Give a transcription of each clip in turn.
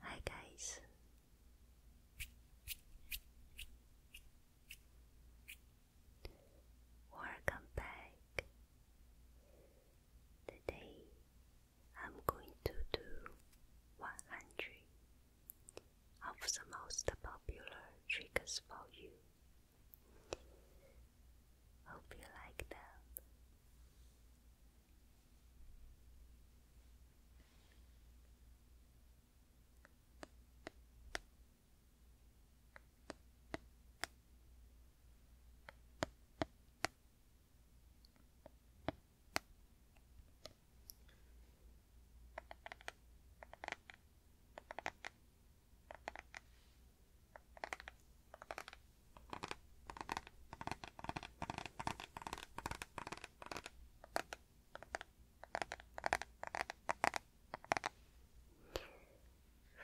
Hi, guys. Welcome back. Today I'm going to do 100 of the most popular triggers for you. Hope you like them.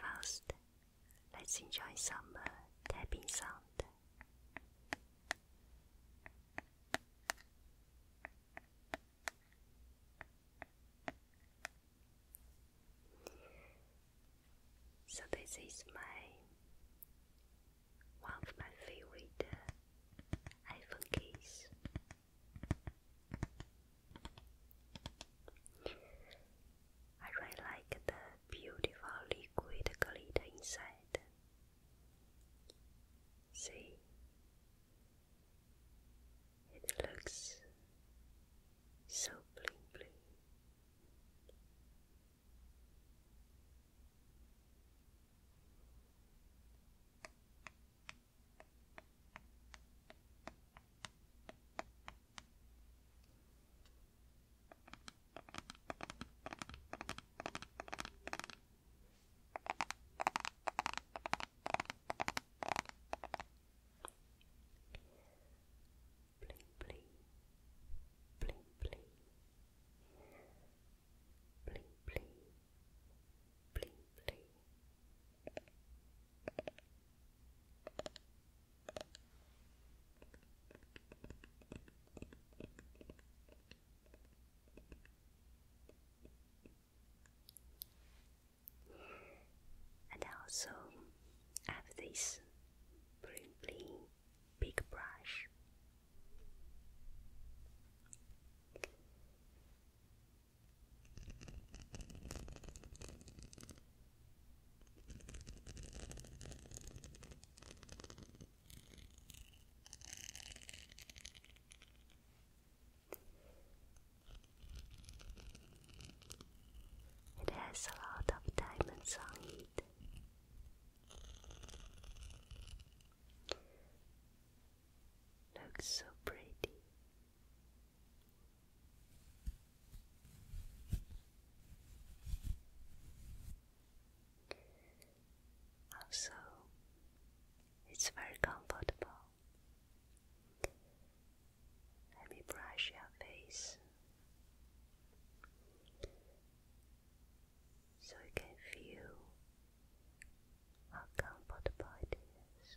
First, let's enjoy some uh, tapping sound. So this is my one of my favorite uh, iPhone case. I really like the beautiful liquid glitter inside See, it looks so bling bling. Bling bling, bling bling, bling bling, bling bling. And also have this pretty big brush. It has a lot of diamonds on it. Looks so pretty. Also, it's very comfortable. Let me brush your face so you can feel how comfortable it is.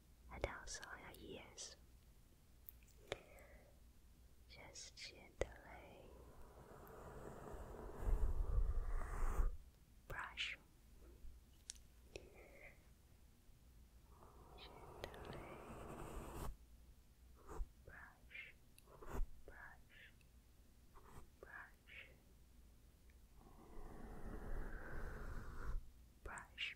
and also on ears. Just gently brush. Gently brush, brush, brush, brush.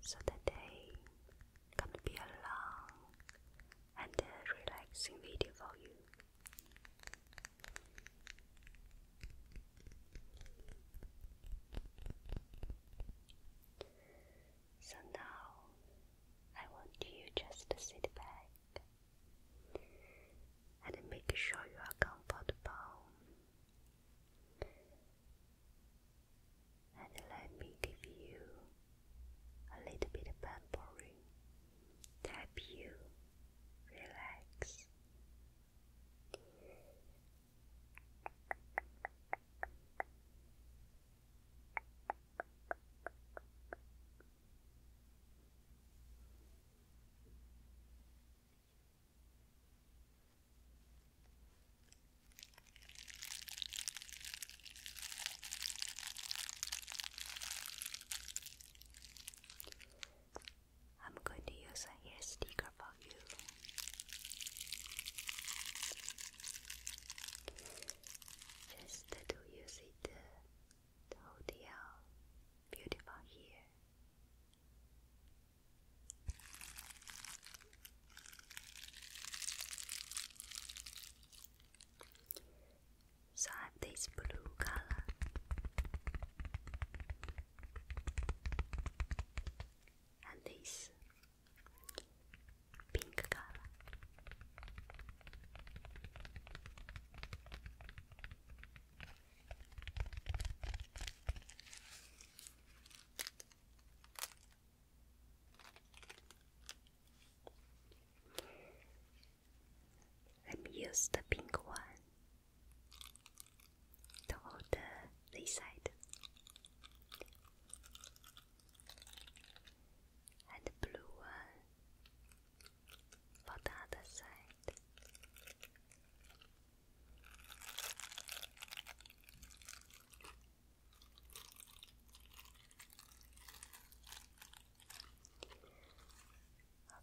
So the gonna be a long and a relaxing video for you. So now I want you just to sit back and make sure you are comfortable. And let me give you a little bit of pampering to help you relax. I'm going to use an hair sticker care about you. Just to use it to hold beautiful hair. So I have this blue color. And this pink color. Let me use the pink one toward the east side and the blue one for the other side.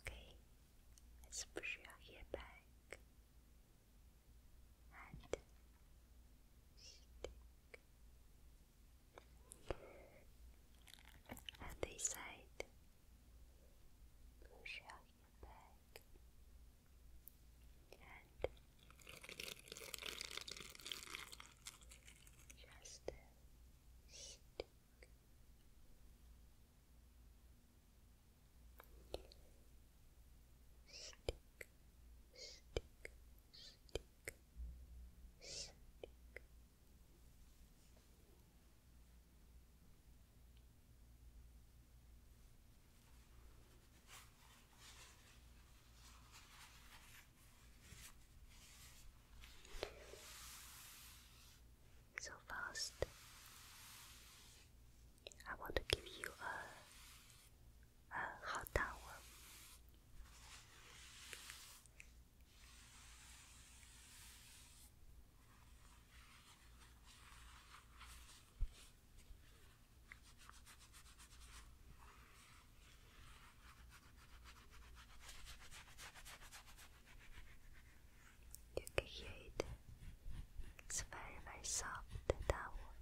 Okay, let's push your hair back and stick. And they said, push out back and just stick stick, So fast. I want to give you a 呃，好大哦。You can hear It's very, soft, that one.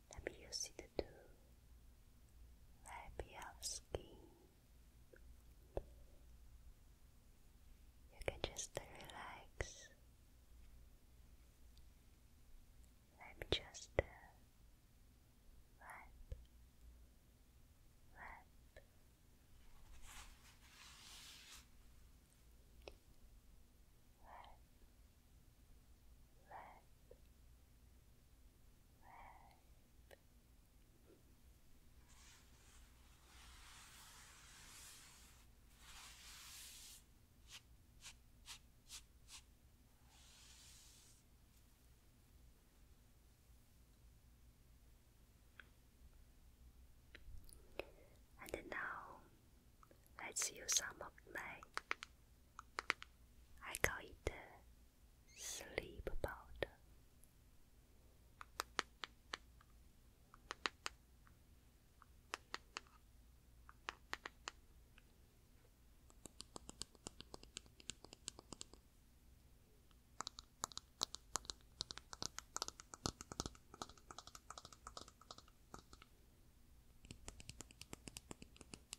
Nabiyosida do labial skin. You can just relax. Let me just uh, wipe, wipe red, red. And now Let's use some of my. I call it sleep powder.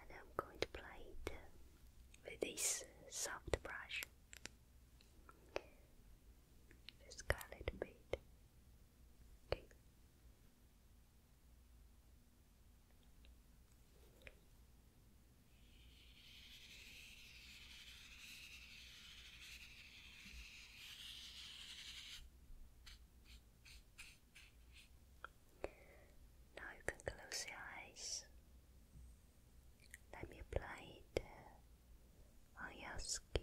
And I'm going to apply it uh, with this soft brush. Just cut a little bit. Now you can close your eyes. Let me apply it on your skin.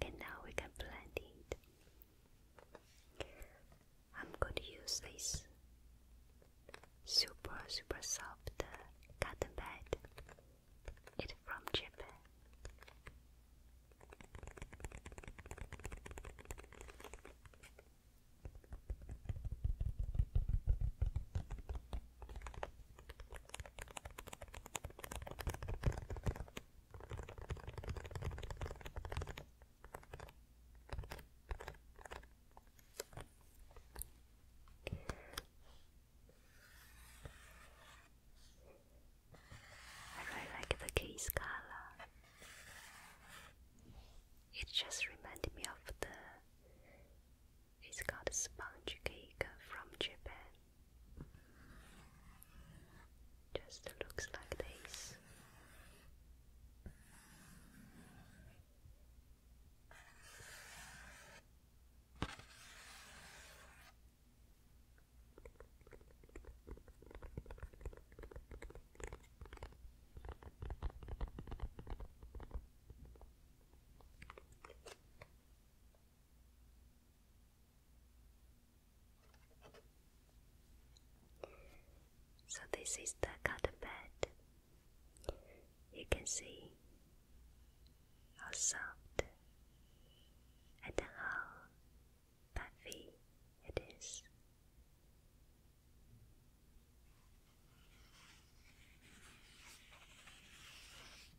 Okay, now we can blend it. I'm going to use this super super soft uh, cotton pad. It's from Japan. I really like the case color. It just reminded me of the. It's called sponge cake from Japan. Just looks like this. So this is the garden bed. You can see how soft and how puffy it is.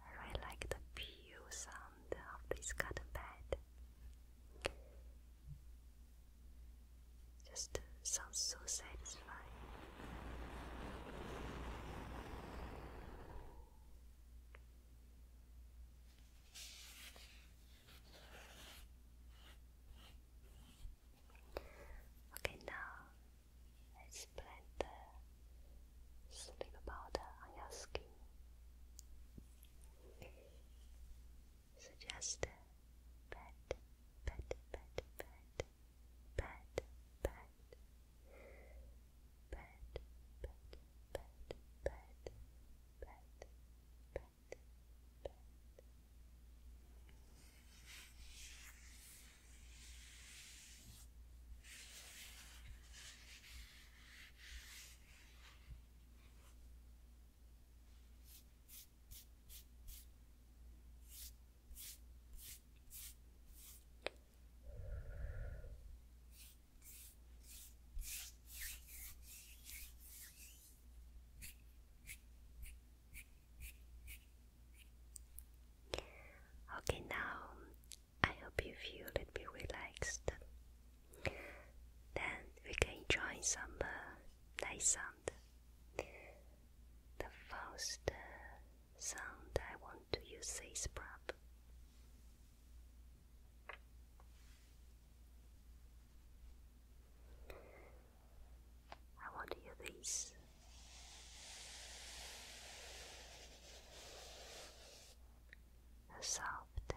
I really like the pew sound sound of this cotton pad. Just uh, sounds so satisfying. Okay, now let's blend the sleep powder on your skin. Suggest pet, pet, pet, pet, pet, pet, pet, pet, pet, pet, pet, pet, pet. Pet, Okay, now I hope you feel a little bit relaxed then we can enjoy some uh, nice sound. The first uh, sound I want to use is prop. I want to hear this. soft uh,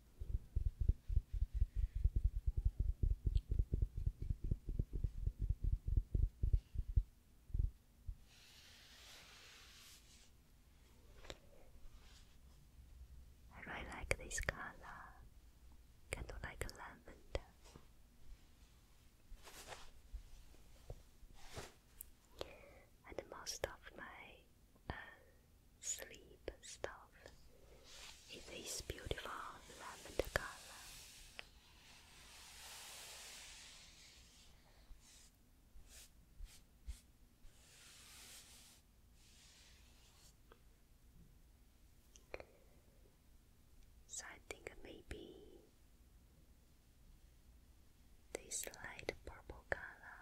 I really like this color, kind of like lavender. And most of my uh, sleep stuff it is beautiful lavender color. So I think maybe this light purple color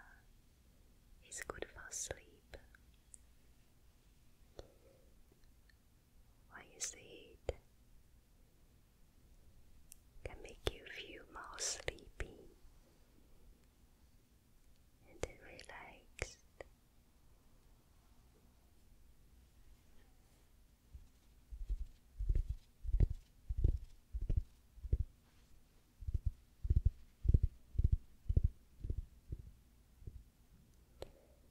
is good for sleep. Why is the heat? Can make you feel more sleepy and relaxed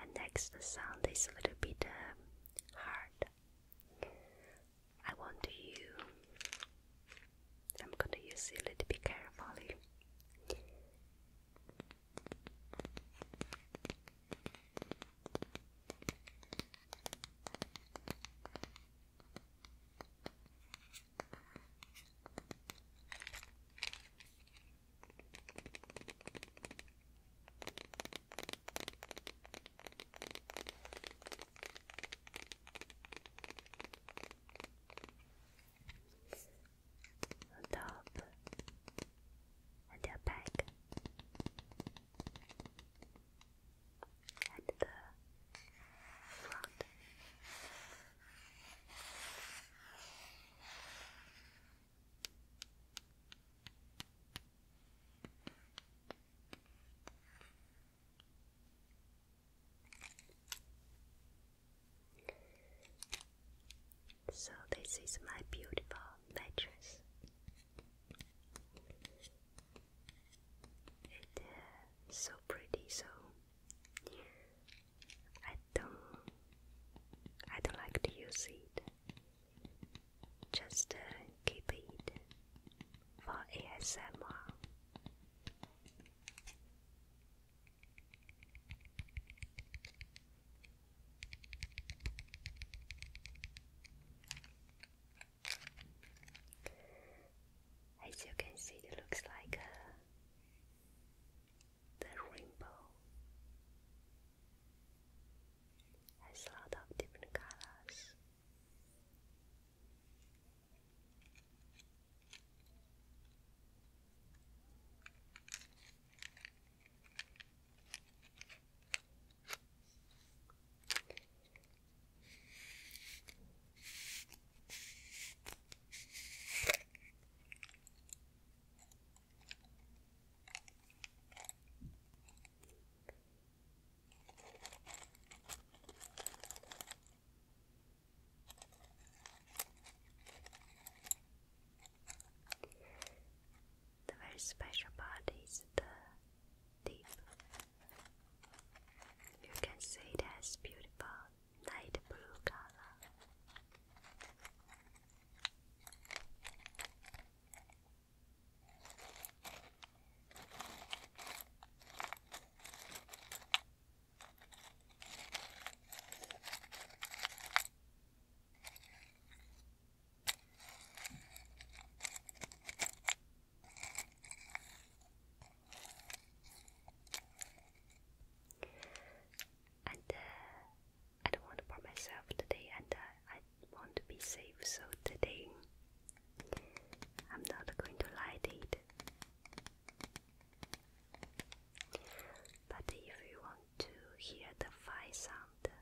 And next the sound is a little bit um, hard. I want you. I'm going to use a little bit carefully on top and their back so this is my beautiful mattress. It is uh, so pretty, so I don't I don't like to use it. Just uh, keep it for ASMR. As you can see, it looks like uh, the rainbow has a lot of different colors. The very special part is the deep you can see it has beautiful light blue color. Uh, I don't want to burn myself today, and uh, I want to be safe, so today I'm not going to light it. But if you want to hear the fire sound,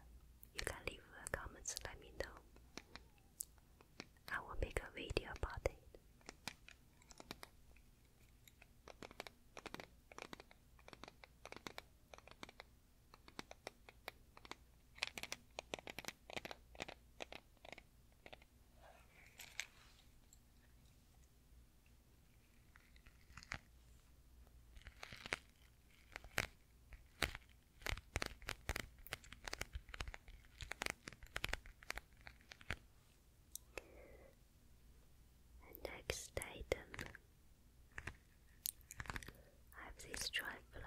you can leave a comment, let me know. I will make a video about it next item, I have this triflower.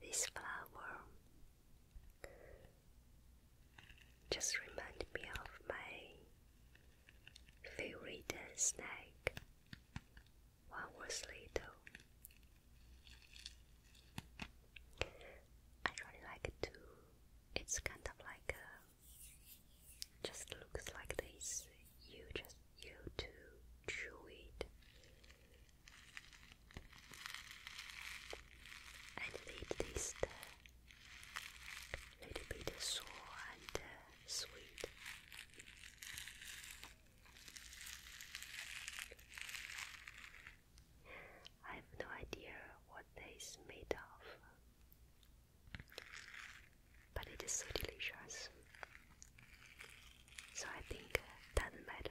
This flower just reminded me of my favorite snack when I was little. I really like it too. It's kind of like a, uh, just looks like this. You just you to chew it, and it a uh, little bit sour and uh, sweet. I have no idea what that is made of, but it is so delicious. So I think doesn't matter.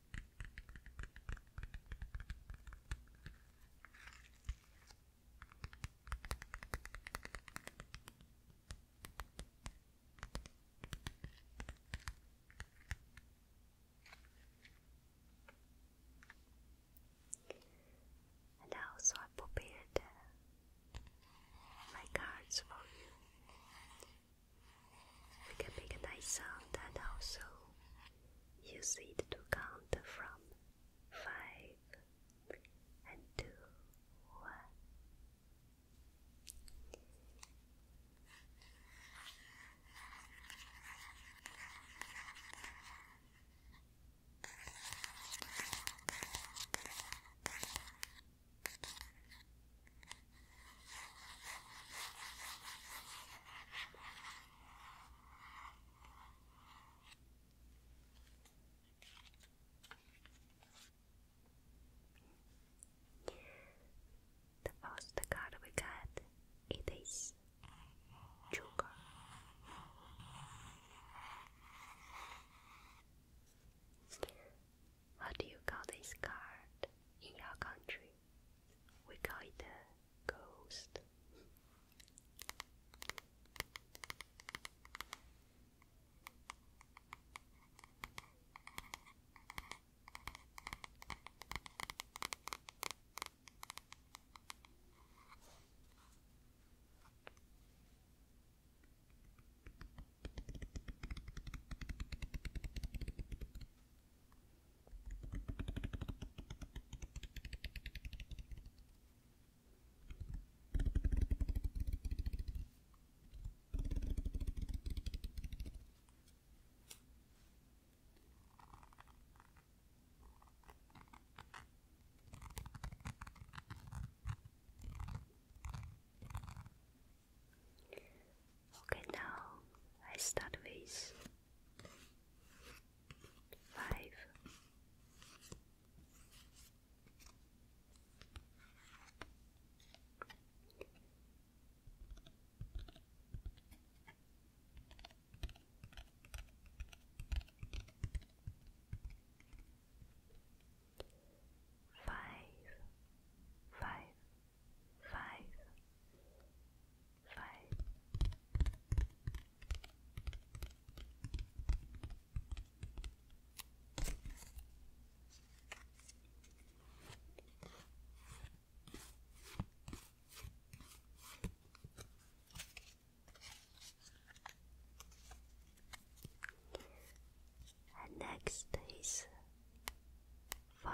And also, I prepared uh, my cards for you. We can make a nice sound and also Use it to count from five and two, one. The first card we got it is Joker. What do you call this card in your country? we call it a ghost. Okay, now I start with five. Five, five, five, five. And next is foul.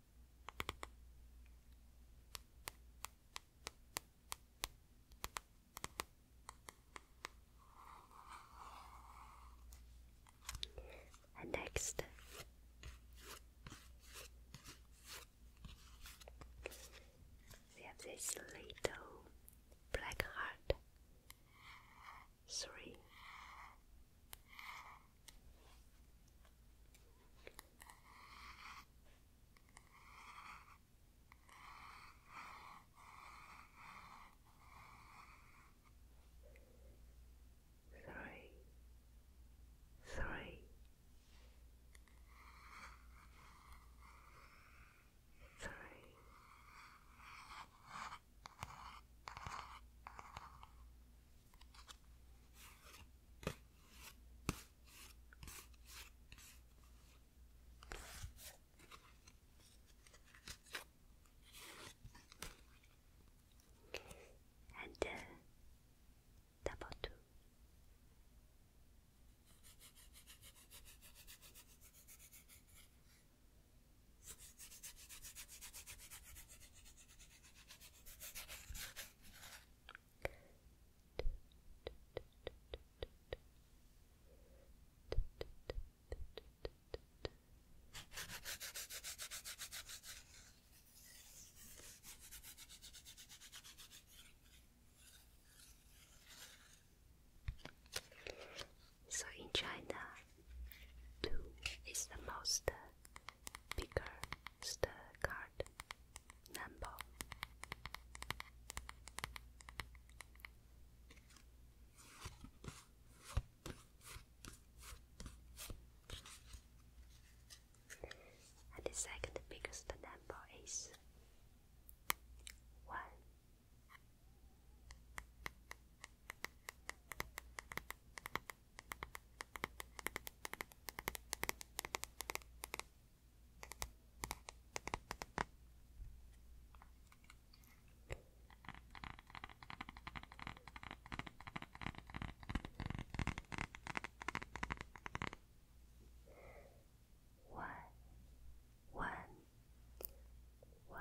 next, we have this little black heart. Three three, three, three. Four, and uh, double two. So in China, two is the most picker, card, number. the second biggest number is one. One, one, one.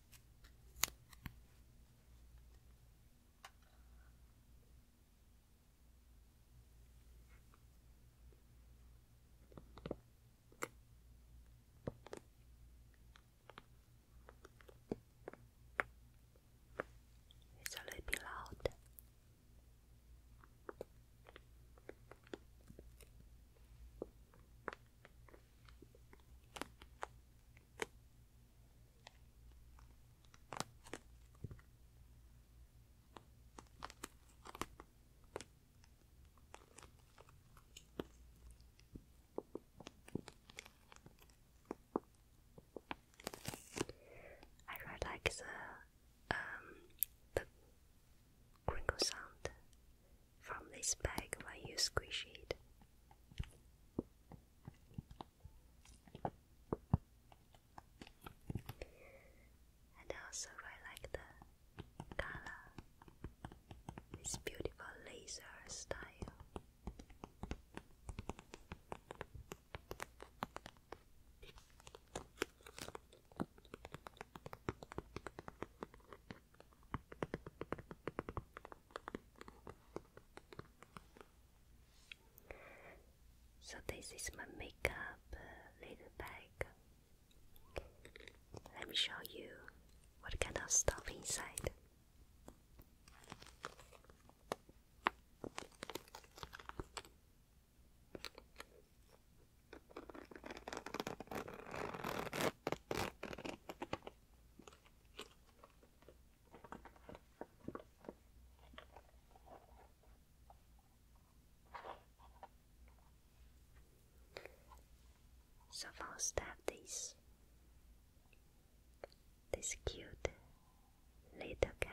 It's a little bit loud. I really like the um, the crinkle sound from this bag when you squish it. And also really like the color, this beautiful laser style. So this is my makeup little uh, bag. Let me show you what kind of stuff inside. So first I have this this cute little cat.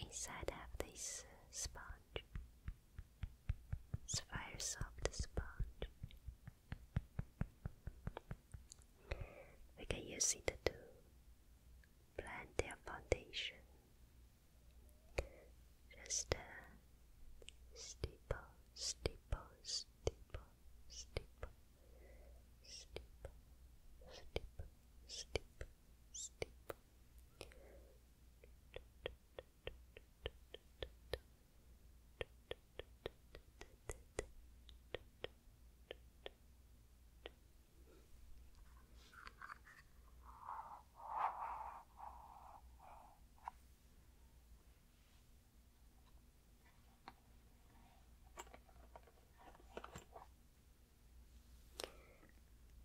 Inside of this uh, sponge, it's soft sponge. We can use it to blend their foundation. Just uh, stipple, stipple, stipple steep, steep, steep, steep, steep.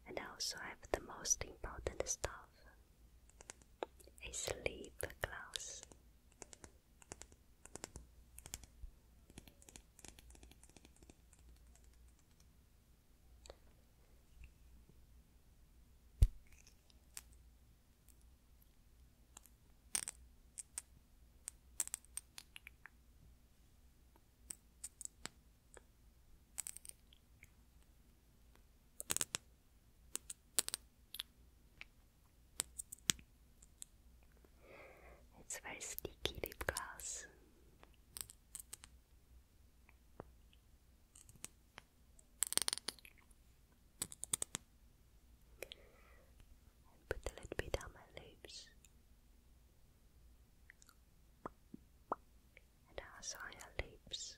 And I also have the most important stuff a sleep glass. It's very sticky lip gloss and put a little bit on my lips. And also on your lips.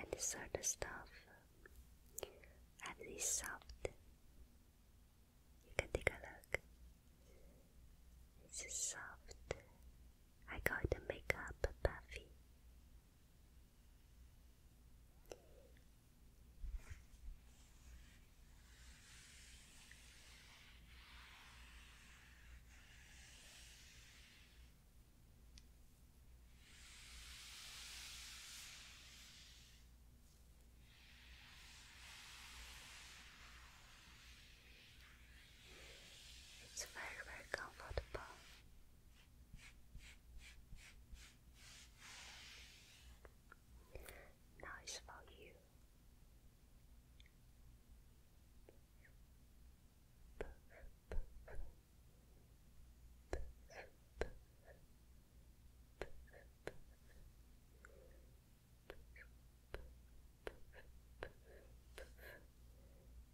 And this sort of stuff, at least soft. You can take a look. It's soft I got to make up Buffy. It's very, very comfortable. Nice for you.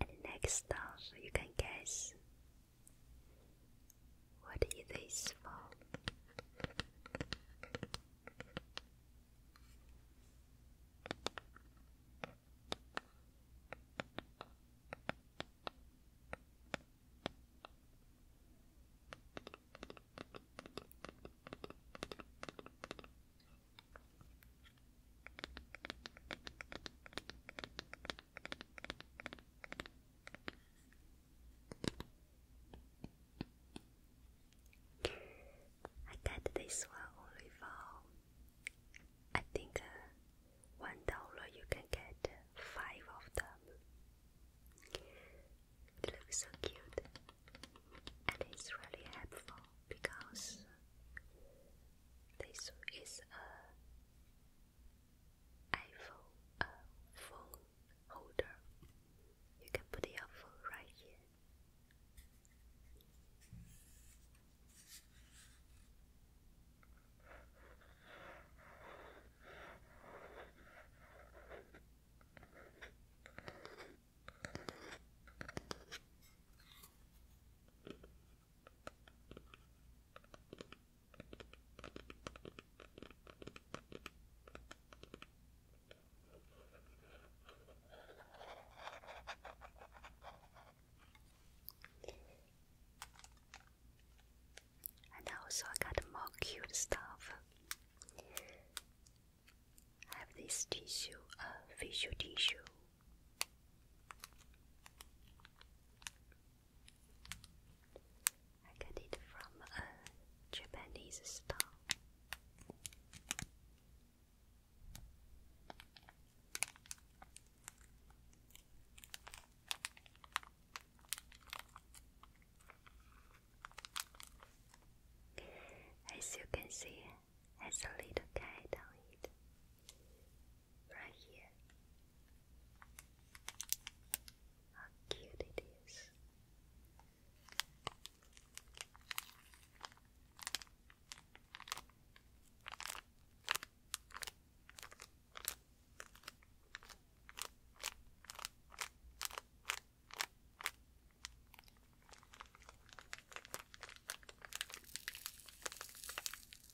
And next off, you can guess What is this for. I got this one only for I think uh, one dollar you can get five of them. It looks so cute and it's really helpful because this is a iPhone phone holder. You can put your phone right here. And also I got more cute stuff. I have this tissue, a uh, facial tissue I got it from a Japanese store. As you can see, has a little guide on it right here. How cute it is.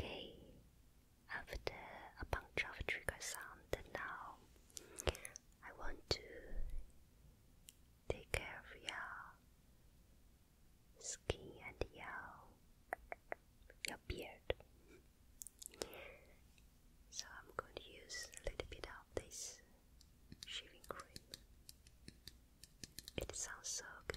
Okay, after a bunch of trigger sound, now I want to take care of your skin and your, your beard. So I'm going to use a little bit of this shaving cream. It sounds so good.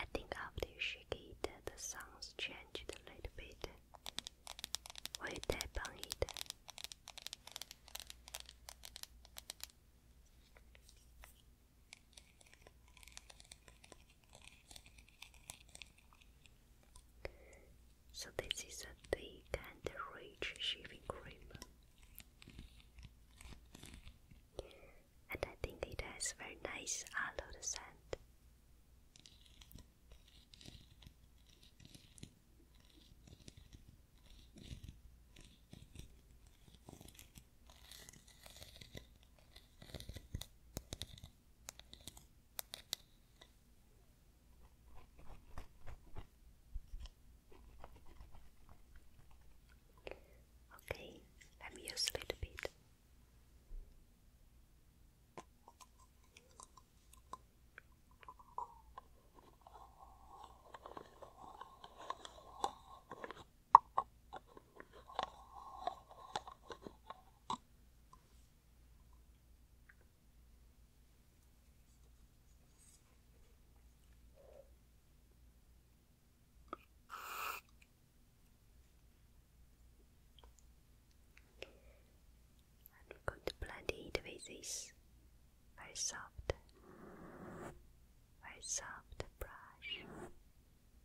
I think after you shake it, uh, the sounds changed a little bit. When you so this is a thick and rich shaving cream. And I think it has very nice aloe scent. Okay, let me use a little bit. And we going to blend it with this very soft, very soft brush.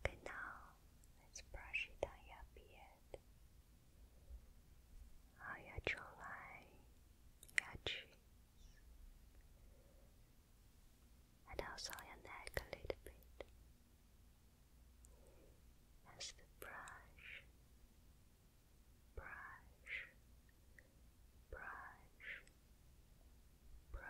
Okay, now let's brush your beard, on your jawline, your cheeks, and outside your neck a little bit as the brush, brush, brush, brush.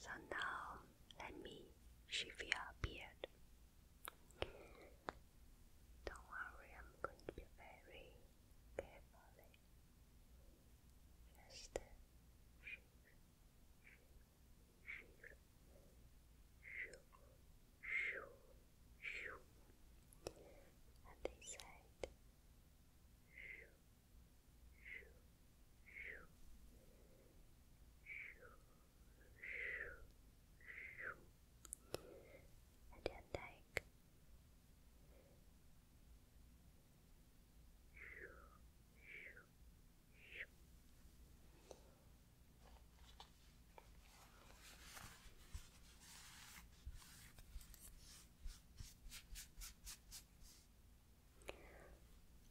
So now let me shave your beard. Don't worry, I'm going to be very carefully. Just and they said and you're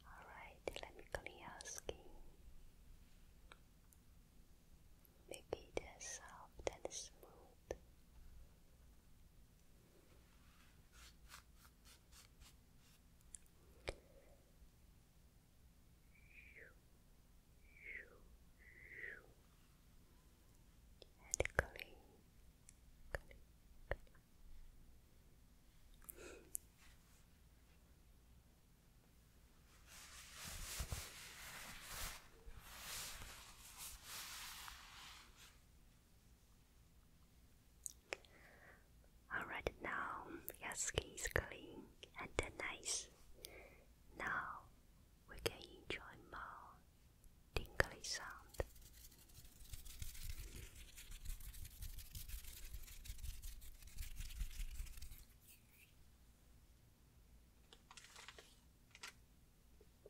all right, let me clean your Make it soft and smooth and clean, clean, clean. Alright, now your skin is clean and nice. Now we can enjoy more tingly sound.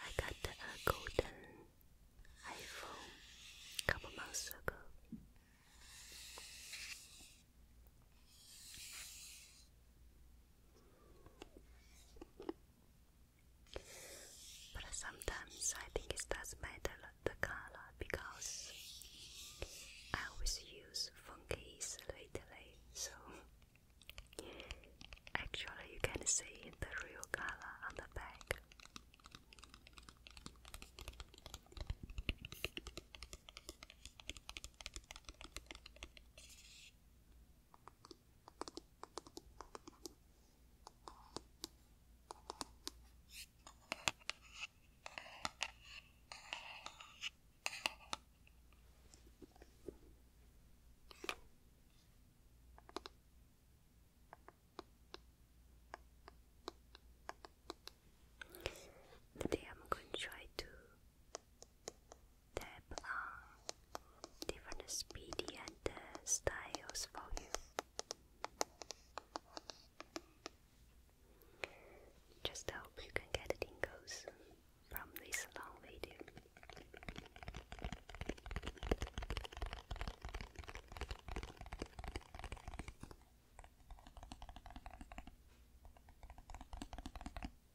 I got a uh, golden iPhone a couple months ago. But sometimes I think it doesn't matter the color because I always use funkies lately, so actually you can see the real color on the back brush. Today I'm going to try to they belong different speed and styles for you. Just hope you can get tingles from this long video.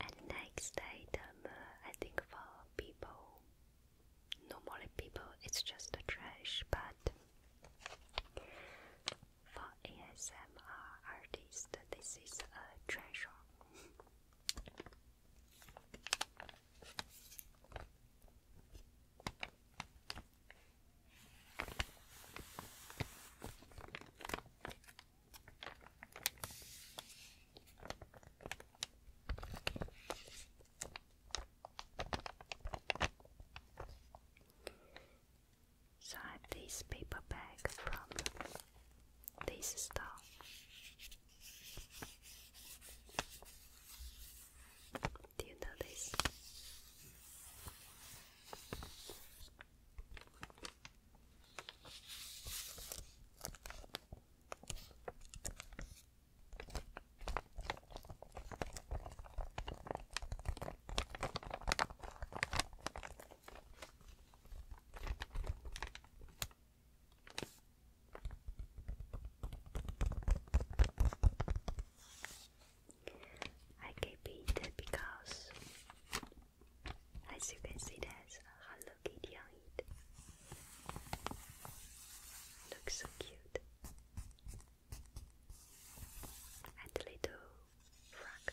And next item, uh, I think for people, normally people, it's just a trash, but for ASMR artists, this is a treasure. So I this paper bag from this store. Do you know this? I keep it because, as you can see, there's a Hello Kitty on it. Looks so cute. And a little frog.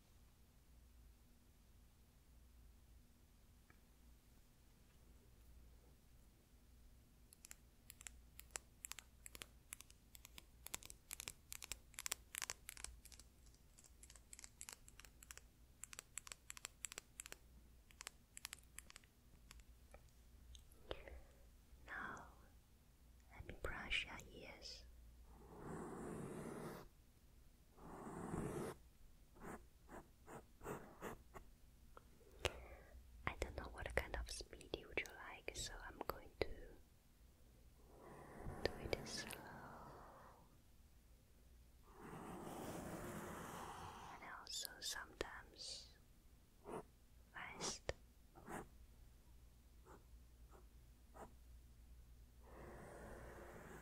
Now, let me brush your ears. I don't know what kind of speed you like, so I'm going to do it slow. And also sometimes fast.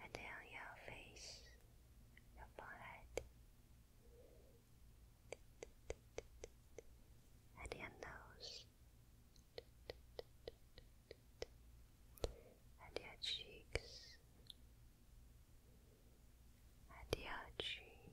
and down your face, your forehead, at your nose, at your cheeks, at your chin,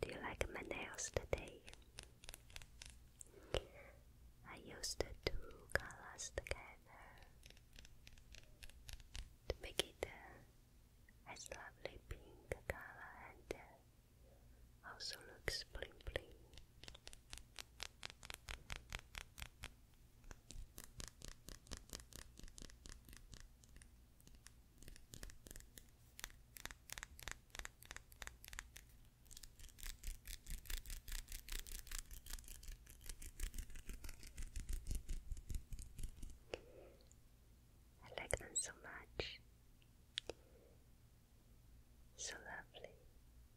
Do you like my nails today? I used two colors together to make it uh, as lovely pink color and uh, also looks bling bling. I like them so much. So lovely.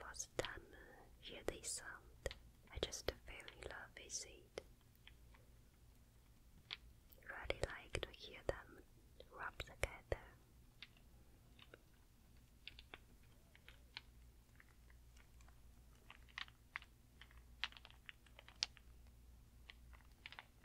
One time uh, hear this sound, I just fell love with it. Really like to hear them rub together.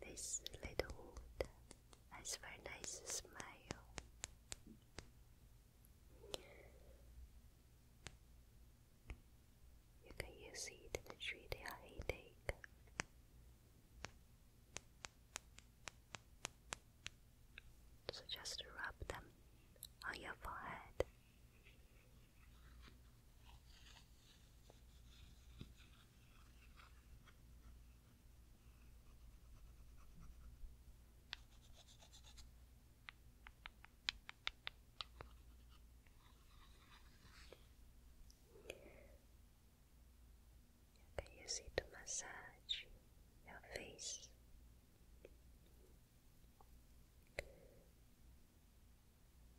This little wood has very nice smile. You can use it to treat a headache. So just rub them on your forehead you see to massage your face?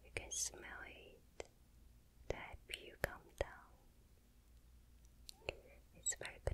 You can smell it to help you down. It's very good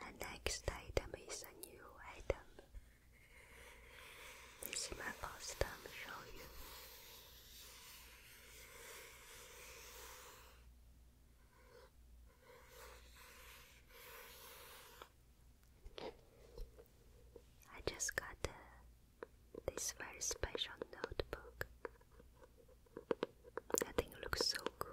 The next item is a new item. This is my first time showing you. I just got this very special notebook. I think looks so cool.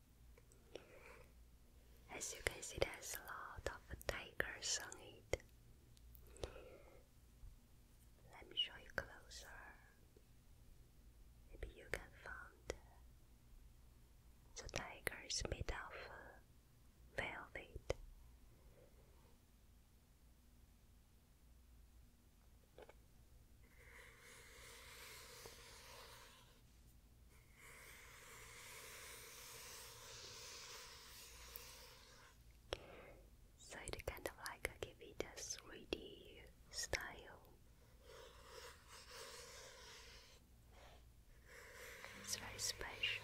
As you can see, there's a lot of tigers on it. Let me show you closer. Maybe you can find the tiger is made of uh, velvet. So it kind of like a 3D style. It's very special.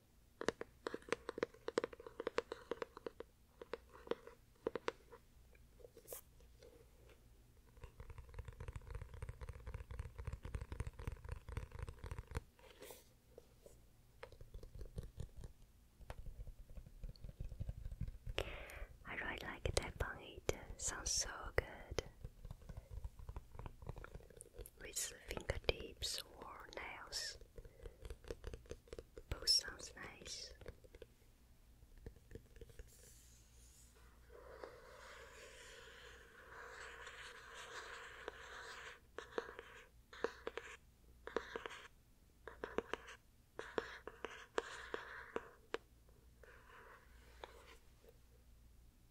I really like that bun sounds so good with fingertips or nails. Both sounds nice.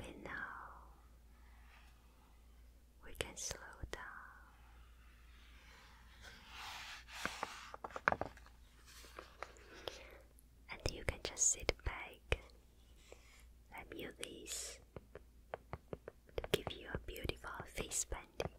Okay, now we can slow down, and you can just sit back and view this give you a beautiful face painting.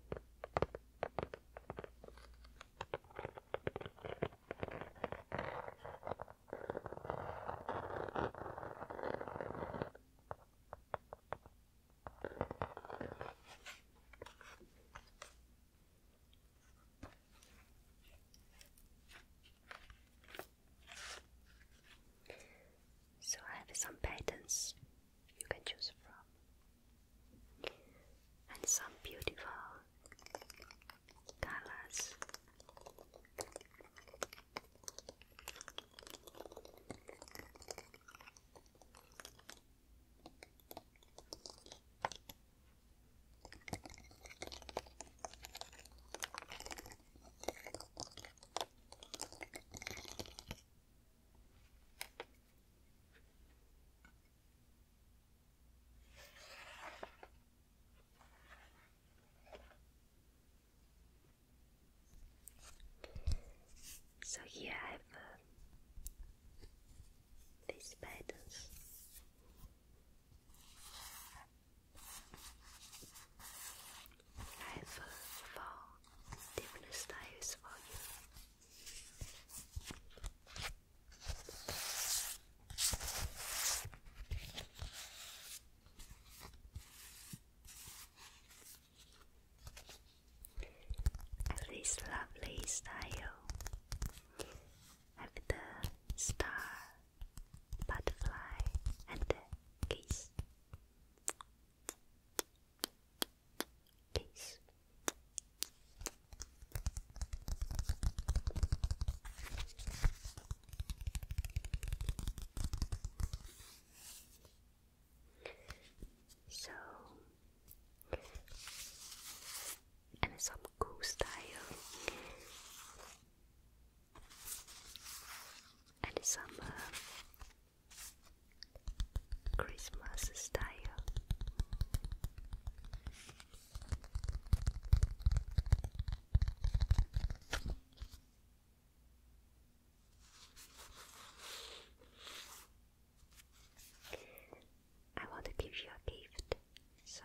So I have some patterns you can choose from, and some beautiful colors. So here I have uh, these patterns. I have uh, four different styles you. this lovely style. Have the star, butterfly, and the kiss. Peace. So, and some cool style, and some uh, Christmas style. I want to give you a gift, so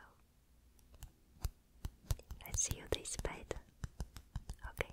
let see you this bed. Okay.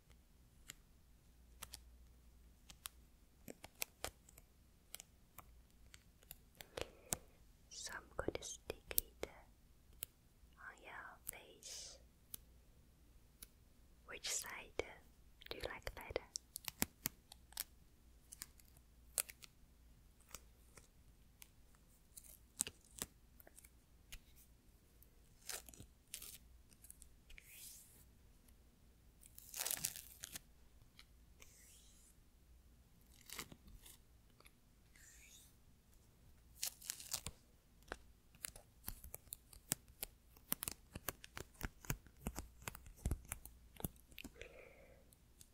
Some could stick on your face. Which side do you like better?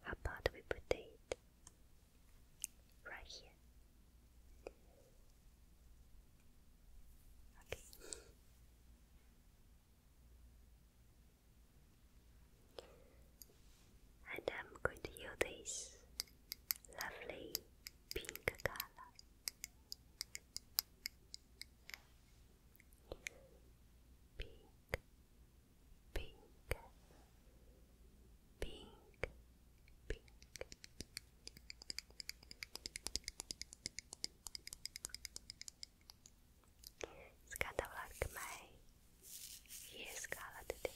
How about we put it right here? Okay. And I'm going to use this lovely pink color. Pink, pink, pink, pink. It's kind of like my ears color today.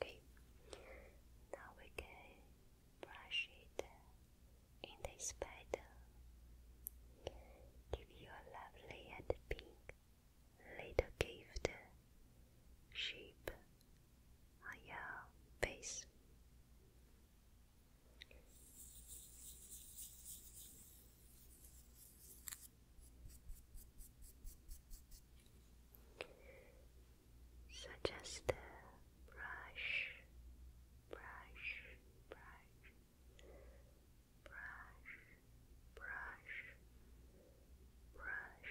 Okay, now we can brush it in this pattern. Give you lovely and pink little gift shape on your face. So just uh, brush, brush, brush, brush, brush, brush,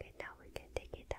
Okay, now we can take it off.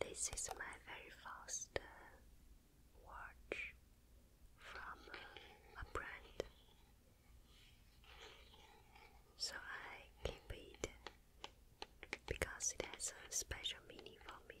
This is my very first uh, watch from uh, a brand, so I keep it because it has a special meaning for me.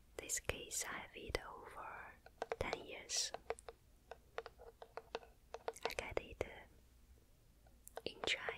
This case I have it over 10 years. I got it uh, in China.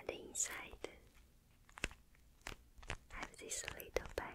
And inside, have this little pillow.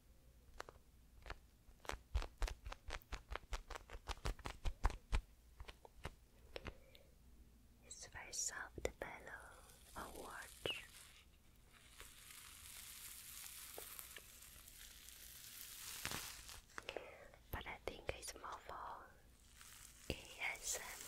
It's very soft pillow or watch. But I think it's more for ASMR.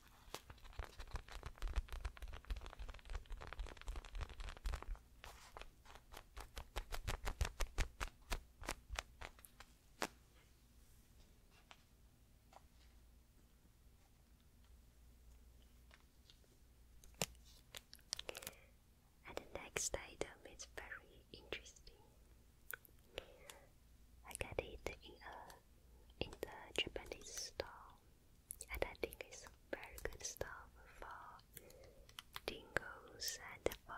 And the next item is very interesting. I got it in a in the Japanese store, and I think it's very good stuff for tingles and for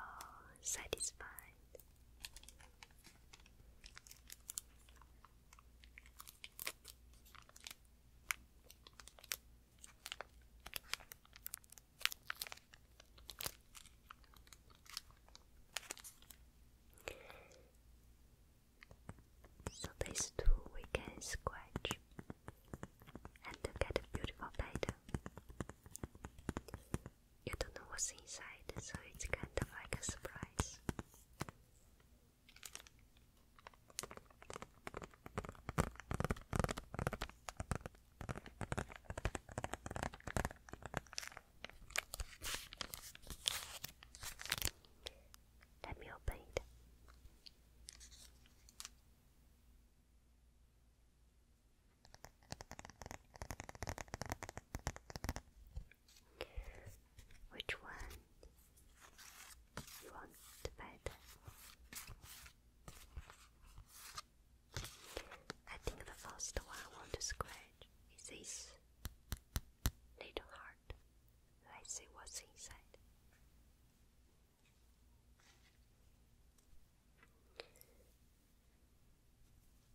satisfied. So these two we can scratch and get a beautiful pattern. You don't know what's inside, so it's kind of like a surprise. Let me open it. Which one you want better? I think the first one I want to scratch is this little heart. Let's see what's inside.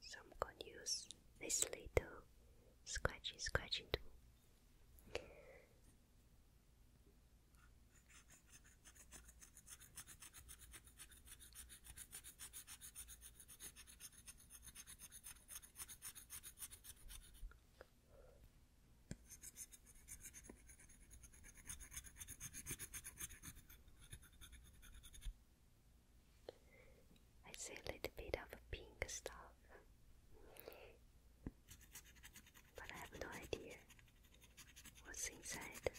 So i use this little scratching scratching tool. I see a little bit of pink stuff, but I have no idea what's inside.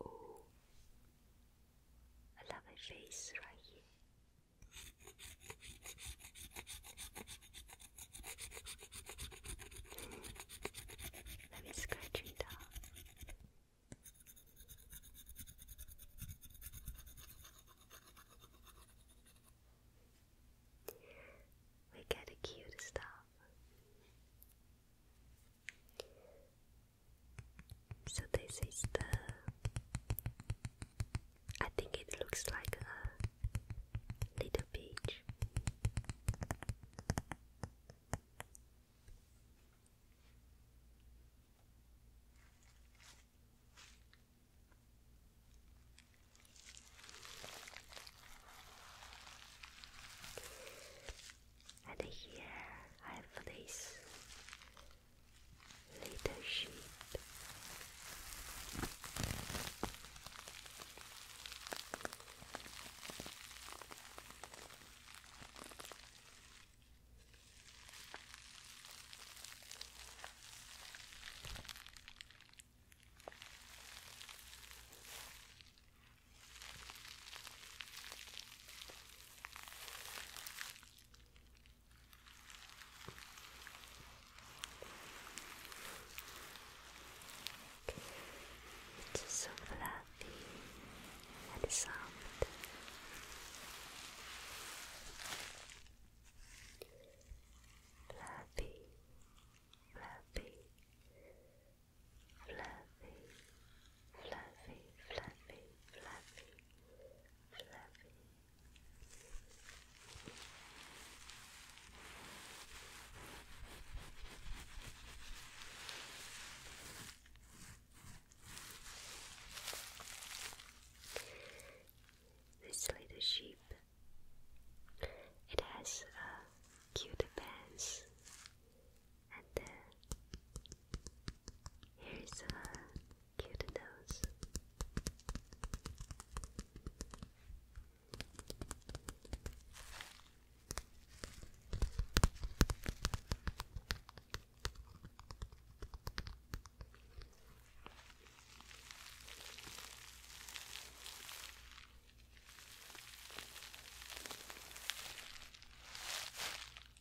Oh, I love my face right here. Let me scratch it down. We get cute stuff. So this is the. I think it looks like a little beach and here I have this little sheep. It's so fluffy and soft. Fluffy, fluffy, fluffy, fluffy, fluffy, fluffy, fluffy. This little sheep. It has a cute pants and then here's a cute nose.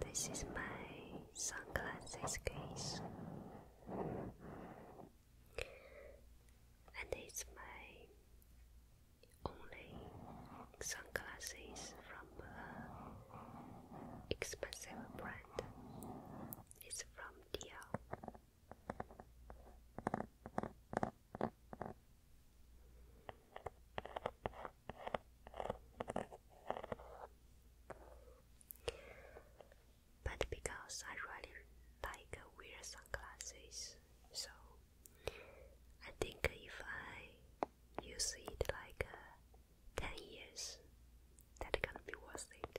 This is my sunglasses case and it's my only sunglasses from a expensive brand. It's from Dior but because I really like wear sunglasses, so I think if I use it like uh, 10 years, that can be worth it.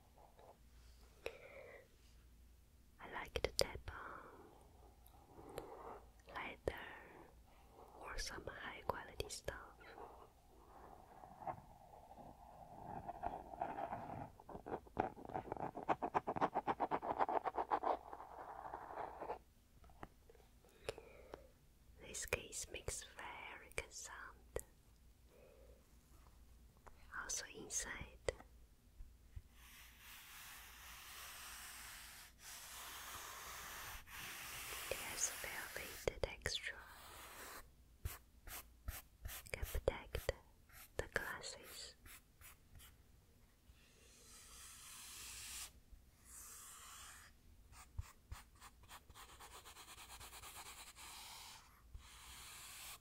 I like to leather or some high quality stuff. This case makes very good sound. Also inside it has velvet texture. the glasses.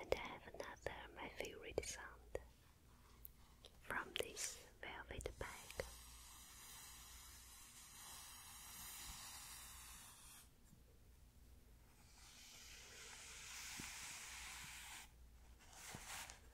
And I have another favorite sound from this velvet bag.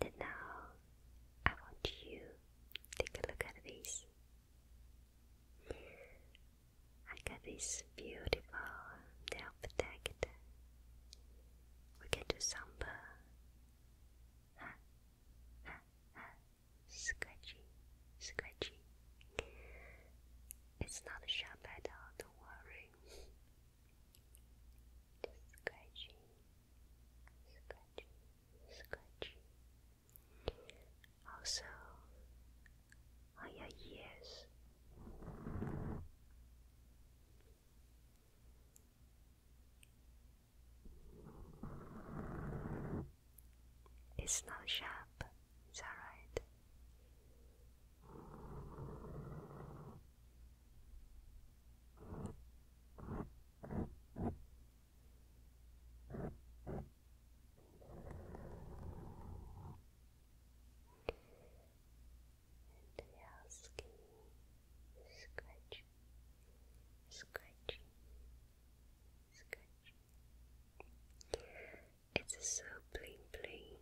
And now I want you take a look at this. I got this beautiful nail protector. We can do some Scratchy, scratchy. It's not sharp at all, don't worry. Just scratchy, Also, on your ears. It's not sharp, it's alright. And asking scratch, scratch, scratch. It's so bling bling.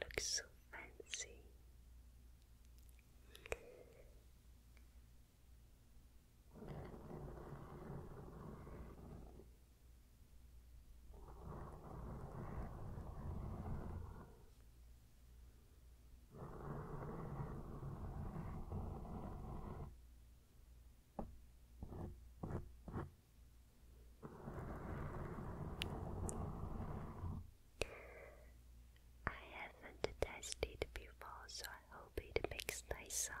looks so fancy. I haven't tested before, so I hope it makes nice sound.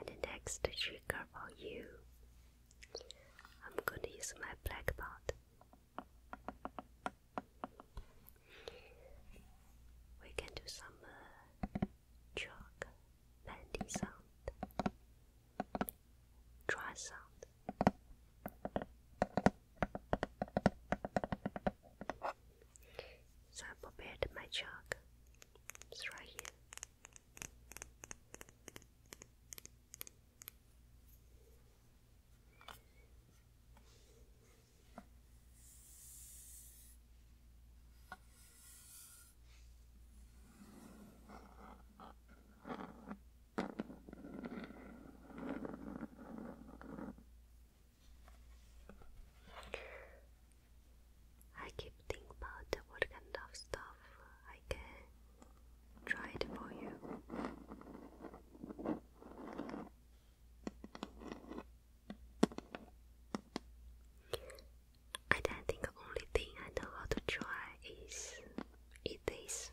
And the next trigger for you, I'm going to use my black pot. We can do some uh, chalk, landy sound, dry sound. So I prepared my chalk. It's right here. I keep thinking about what kind of stuff I can try it for you. I don't think the only thing I know how to try is eat this.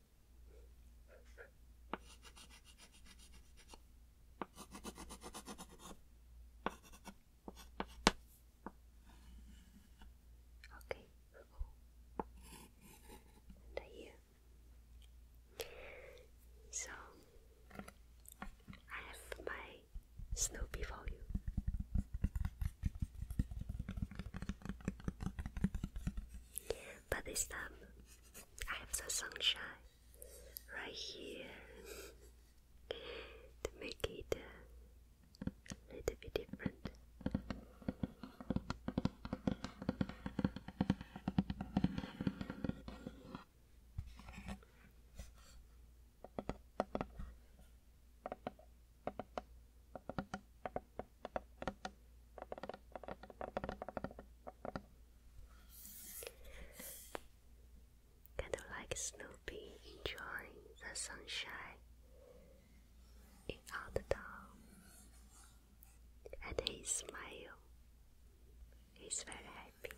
Okay. And So I have my Snoopy for you. But this time I have the sunshine right here to make it a bit different. Kind of like Snoopy enjoying the sunshine in out and his smile. He's very happy.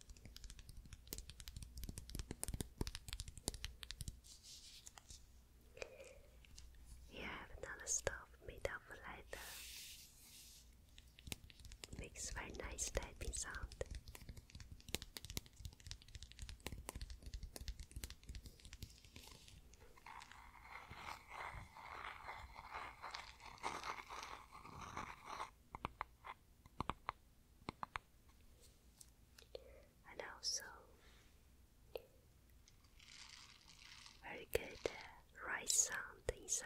Here another stove made of leather. Makes very nice typing sound and also very good uh, sound inside.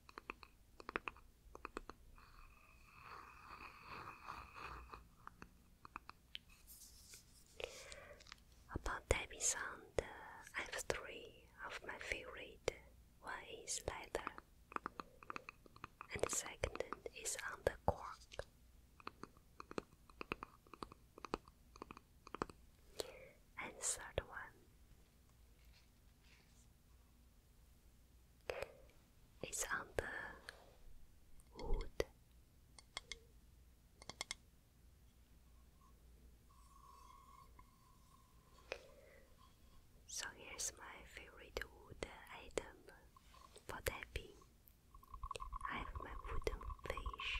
About Debbie sound, uh, I have three of my favorite. One is leather, and the second is on the cork. And third one it's on the wood. So here's my favorite wood item for tapping. I have my wooden fish.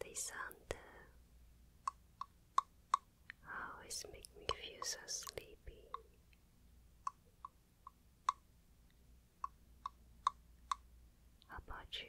They sound uh, always make me feel so sleepy. How about you?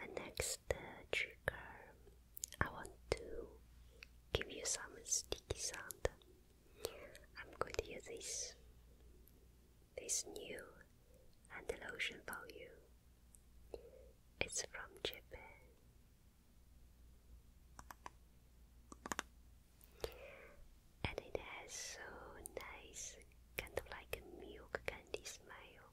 And next trigger I want to give you some sticky sand. I'm going to use this this new hand lotion for you. It's from Japan. And it has so nice kind of like a milk candy smell.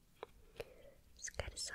Let's get some.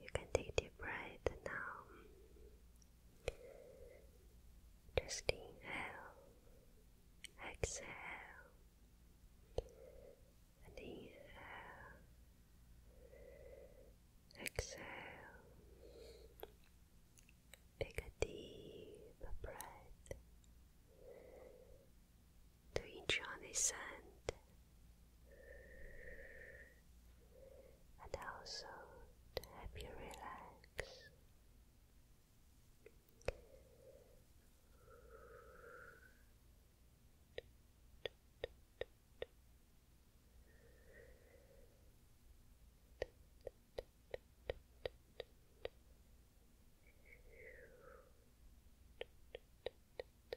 You can take deep breath now. Just inhale, exhale, inhale, exhale. Take a deep breath to each the sand and also to help you relax.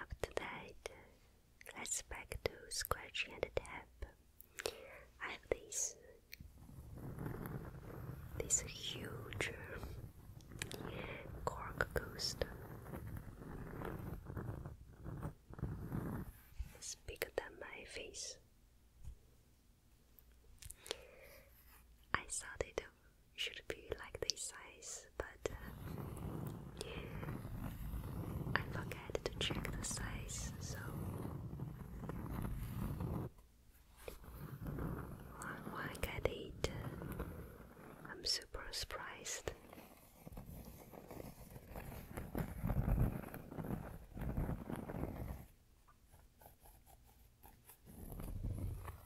After that, let's back to scratching and tap. I have this this huge cork ghost. It's bigger than my face. I thought it should be like this size, but uh, I forget to check the size, so when I get it, uh, I'm super surprised.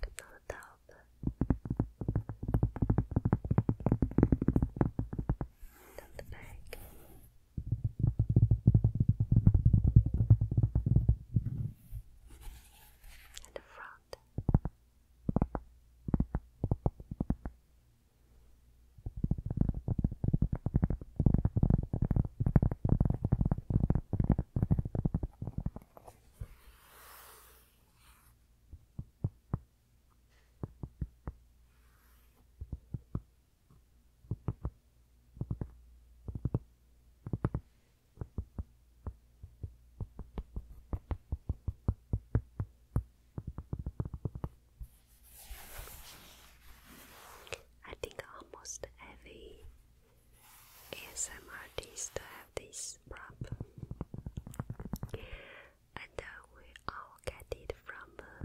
que pela tábua tanto bag and the front I think almost every ASM artists have this problem, and uh, we all get it from uh,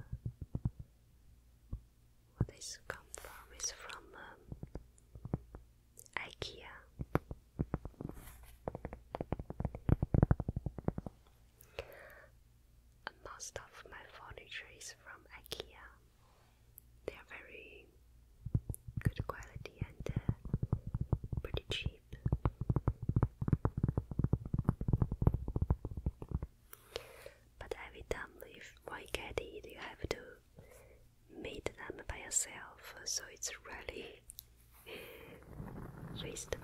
this come from is from um, IKEA. Most of my furniture is from IKEA. They are very good quality and uh, pretty cheap. But every time if when you get it, you have to make them by yourself, so it's really waste time.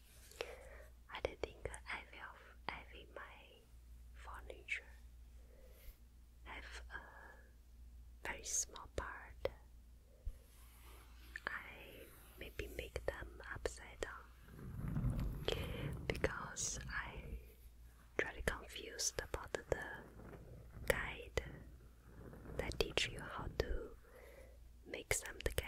I think I will have in my furniture have a very small part. I maybe make them upside down because I really confused about the guide that teach you how to mix them together.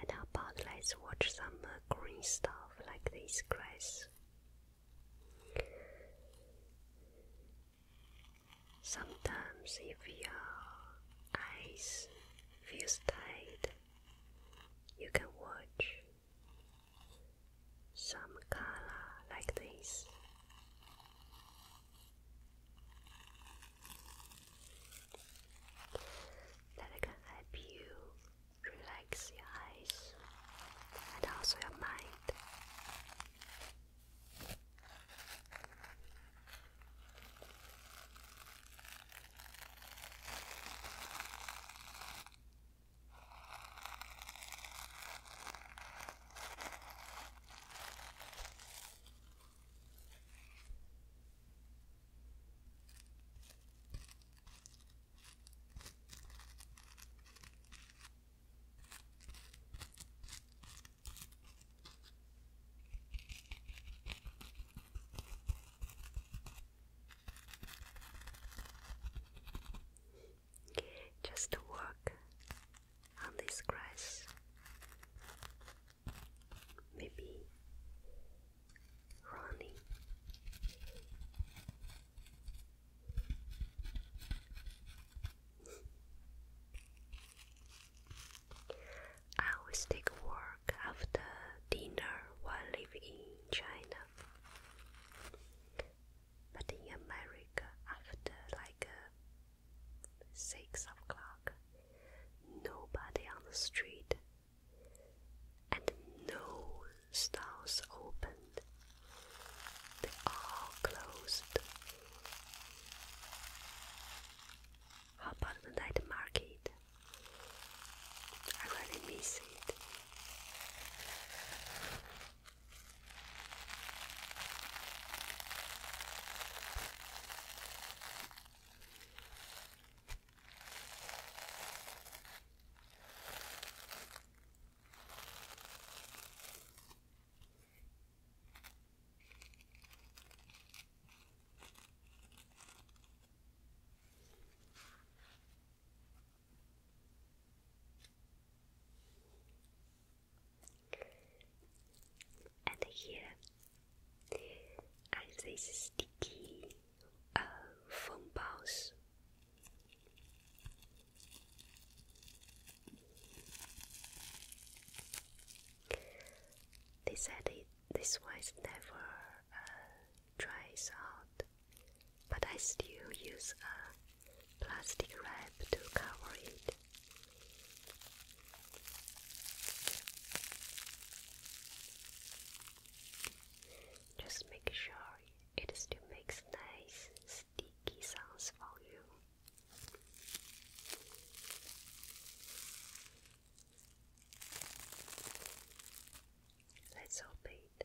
And how about let's watch some uh, green stuff like this grass Sometimes, if your eyes feels tight, you can watch some color like this. That can help you Relax your eyes and also your mind. Just to work on this grass, maybe running I always take work after dinner while living in China. But in America, after like uh, 6 o'clock, nobody on the street and no styles opened, they are closed. How about the night market? I really miss it. And here are these sticky foam balls they said it, this was never uh, dries out, but I still use a plastic wrap to cover it. Just make sure it still makes nice sticky sounds for you. Let's open it.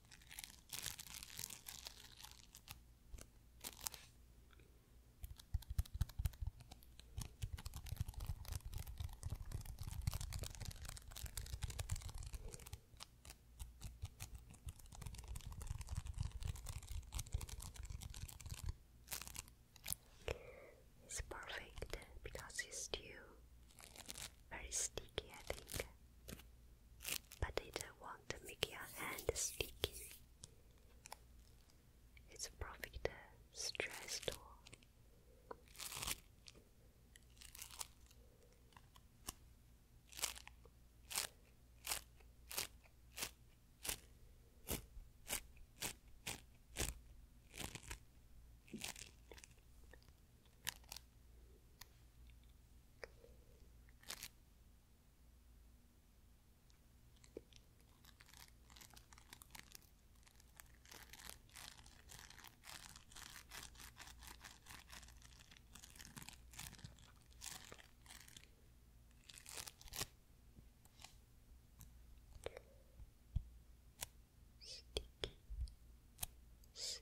It's perfect because it's still very sticky, I think but they don't want to make your hand sticky. It's probably the stress tool. Sticky, sticky,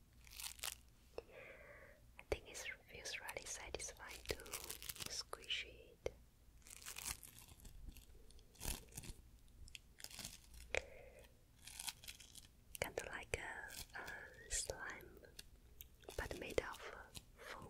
I think it feels really satisfying to squish it. Kind of like a, slime, but made of foam.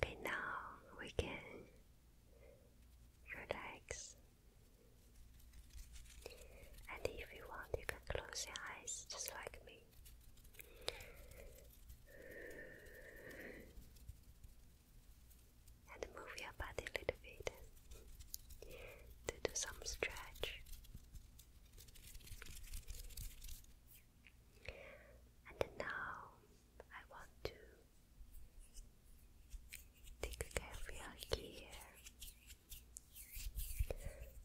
Okay, now we can relax. And if you want, you can close your eyes just like me. And move your body a little bit to do some stretch. And now I want to take care of your hair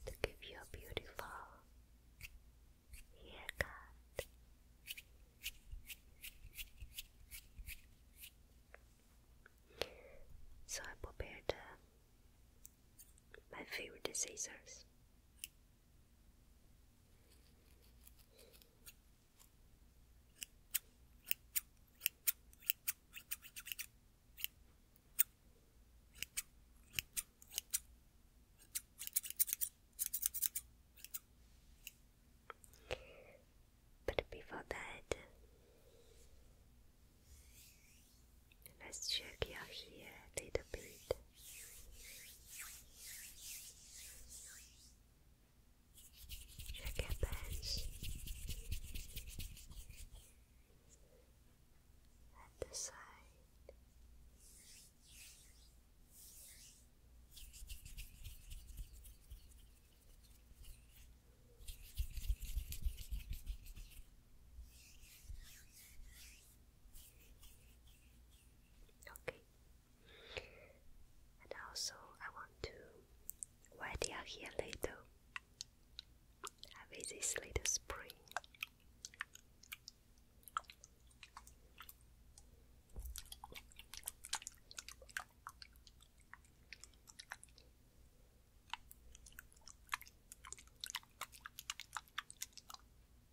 to give you a beautiful haircut. So I prepared uh, my favorite scissors. But before that, let's check your here a little bit. Check you pants at the side. Okay, and also, I want to, while they are here later, I visit this little spring.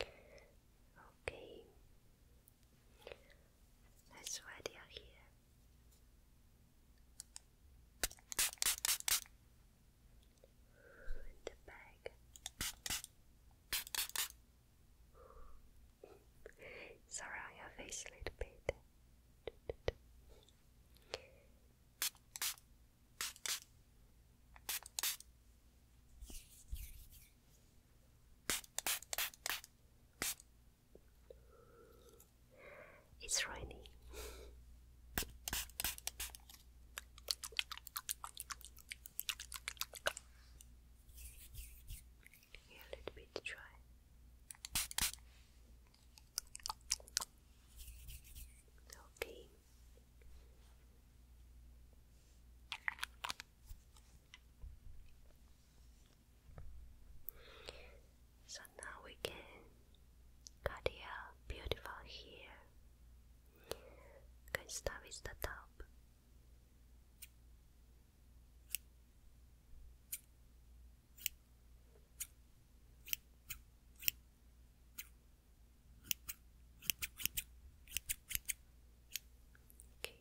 Okay, that's why they are here. In the bag. Sorry your face a little bit. It's raining. a little bit dry. Okay. So now we can cut your beautiful hair. Can start with the top. Okay.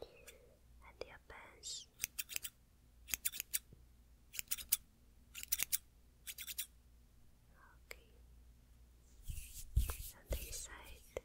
And your Okay. And side.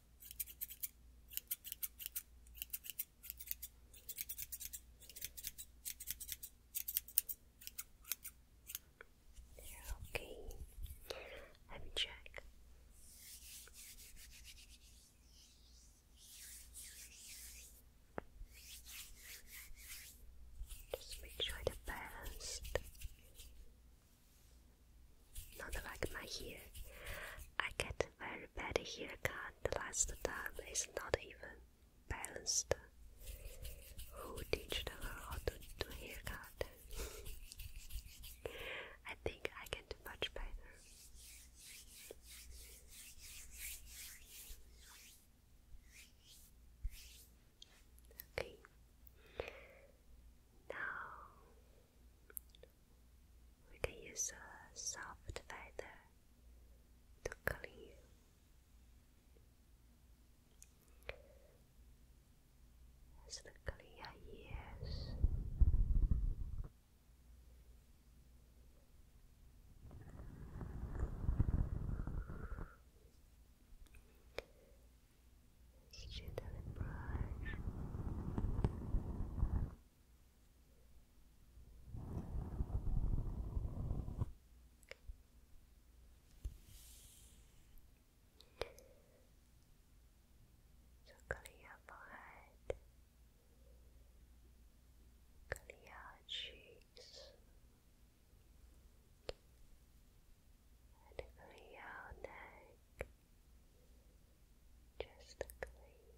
They're okay. Let me check. Just make the balanced. Not like my hair. I get very bad haircut. The last time It's not even balanced. Who teached her how to do haircut? I think I can do much better. Okay. Now we can use a soft feather to clean you. Just clean your ears. Just brush. So clear your forehead, clear your cheeks, and clear your neck. Just clean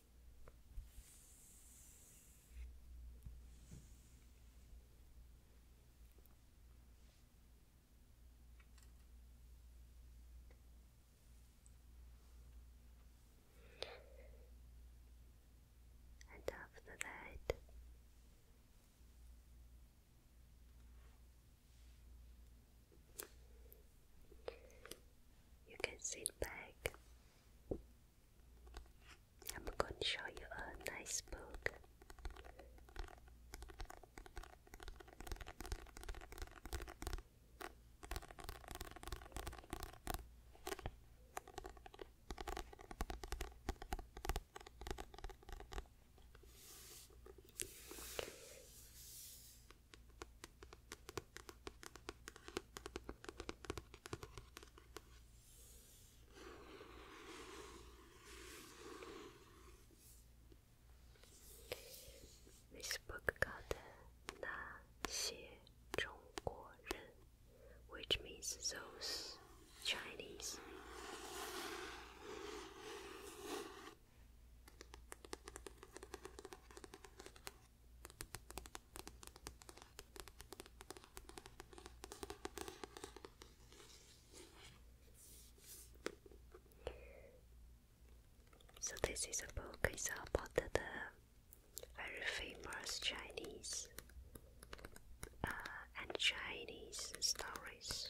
And after that, you can sit back. I'm going to show you a nice book. This book called Na Xie Zhongguoren, which means those Chinese. So this is a book It's about the very uh, famous Chinese uh, and Chinese stories.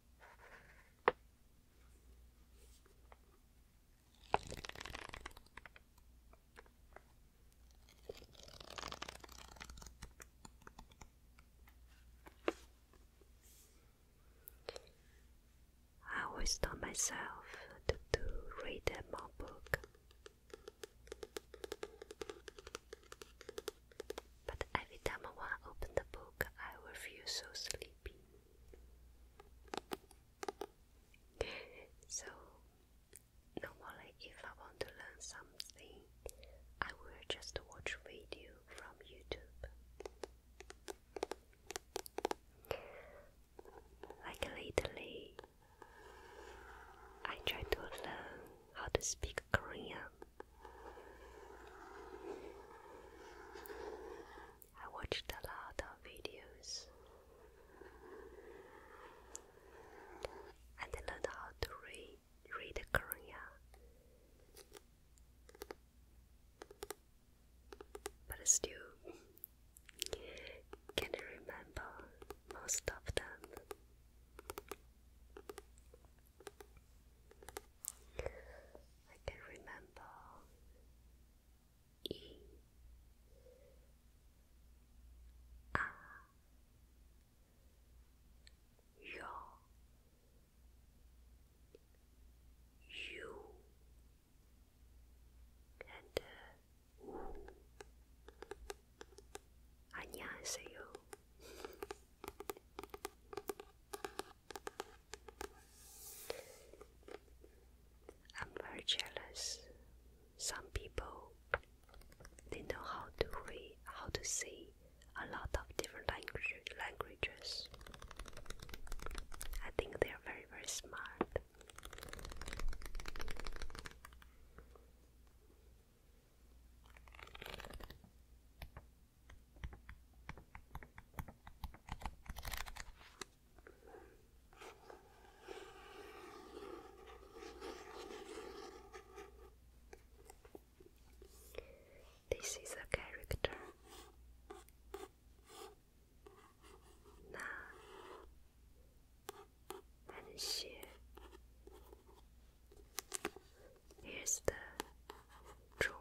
I always told myself to, to read more book, but every time I want open the book, I will feel so sleepy. So normally if I want to learn something, I will just watch video from YouTube. Like lately, I try to learn how to speak Korean. I watched a lot of videos and learned how to read, read Korean. But still, can I remember most of them? I can remember E A and uh, 안녕하세요. I'm very jealous. Some people they know how to read, how to see a lot of different language, languages. I think they are very very smart. This is a character. Now, and she. Here's the room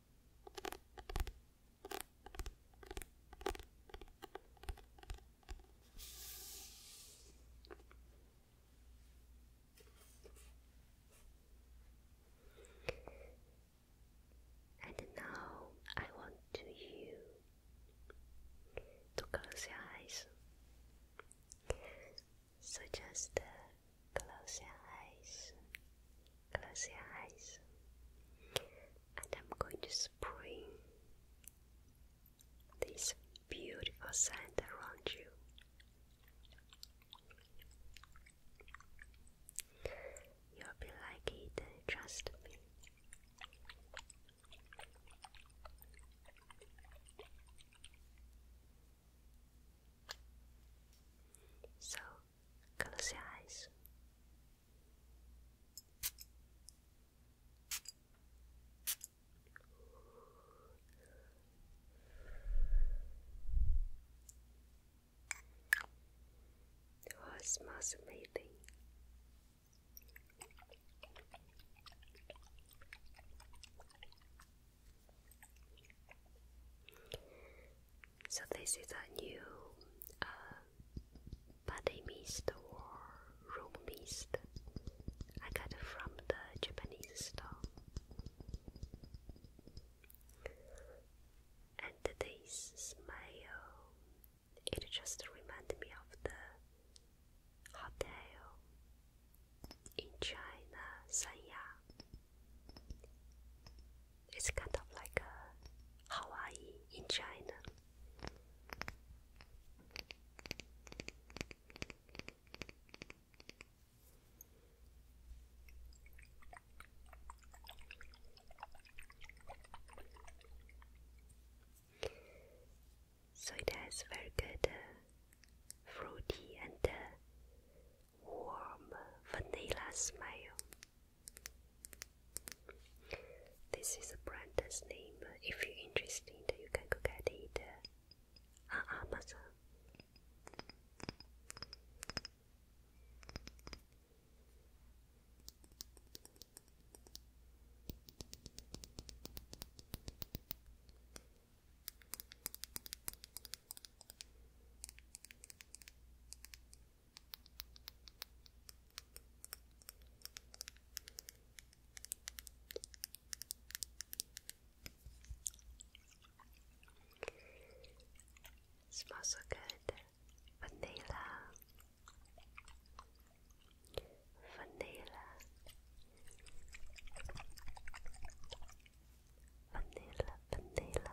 And now I want to you to close your eyes. So just uh, Close your eyes. Close your eyes. And I'm going to spring this beautiful sand around you. You'll be like it, trust me. So Close your eyes. Oh, it smells amazing. So this is a new body uh, mist or room mist. I got it from the Japanese store. And this smell, it just reminds me of the hotel in China, Sanya. It's kind of like a uh, Hawaii in China. So it has very good uh, fruity and uh, warm vanilla smell. This is a brand's name. If you're interested, you can go get it uh, on Amazon. It smells so good. Vanilla. Vanilla. Vanilla, vanilla,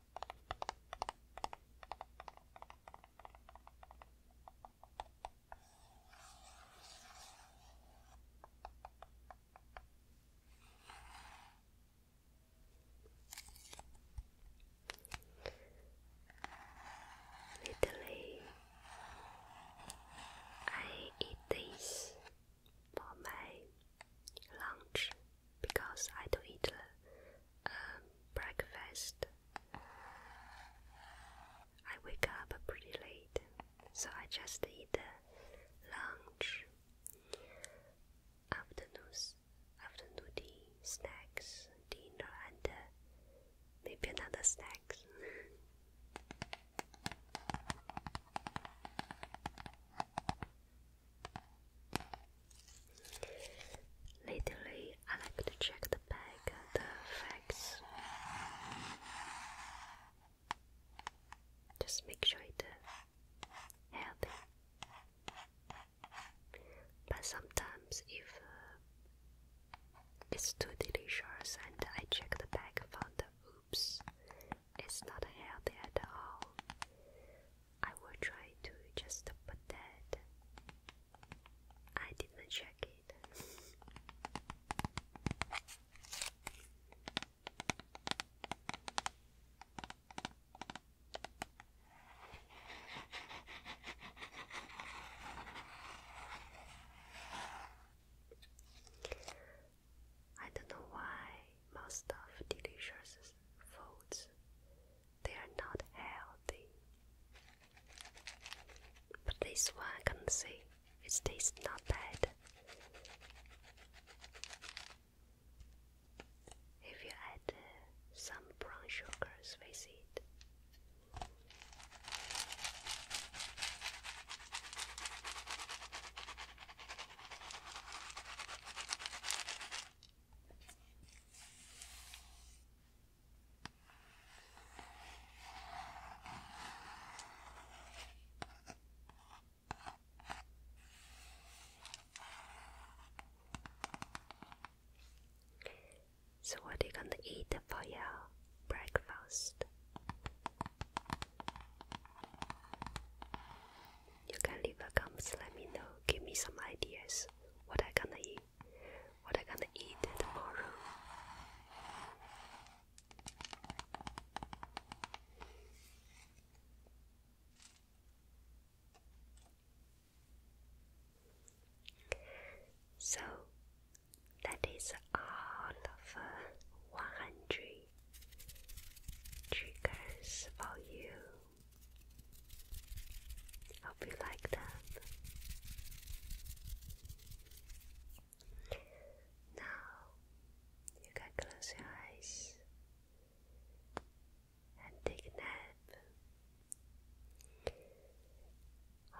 Literally, I eat this for my lunch because I don't eat uh, um, breakfast. I wake up pretty late, so I just eat uh, lunch, afternoon tea, snacks, dinner, and uh, maybe another snacks. Lately, I like to check the bag, the facts. Just make sure it's uh, healthy. But sometimes, if uh, it's too delicious and I check the bag, found the oops, it's not healthy at all. I will try to just put that. I didn't check it. I don't know why must have delicious foods. They are not healthy. But this one I can see it tastes not bad. If you add uh, some brown sugars with it. So what are you gonna eat for your breakfast? You can leave a comment, let me know, give me some ideas. What I gonna eat? What I gonna eat tomorrow? So that is all of uh, 100 triggers for you Hope you like that. Now you can close your eyes and take a nap.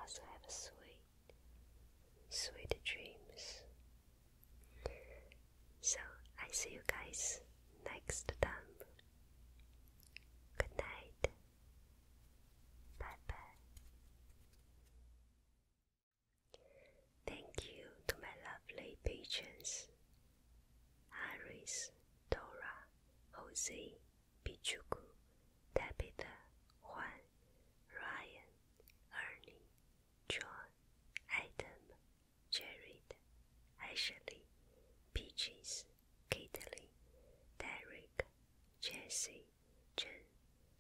Also have a sweet, sweet dreams. So I see you guys next time. Good night. Bye bye. Thank you to my lovely patrons Iris, Dora, Jose, Pichuku, Tabitha, Juan, Ryan, Ernie, John, Adam, Jared, Ashley, Peaches, Kitty, Derek, Jesse, Jen,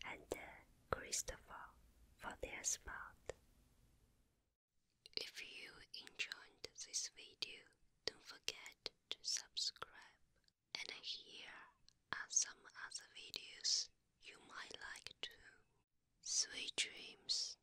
and uh, Christopher for their spot. If you enjoyed this video, don't forget to subscribe. And here are some other videos you might like too. Sweet dreams.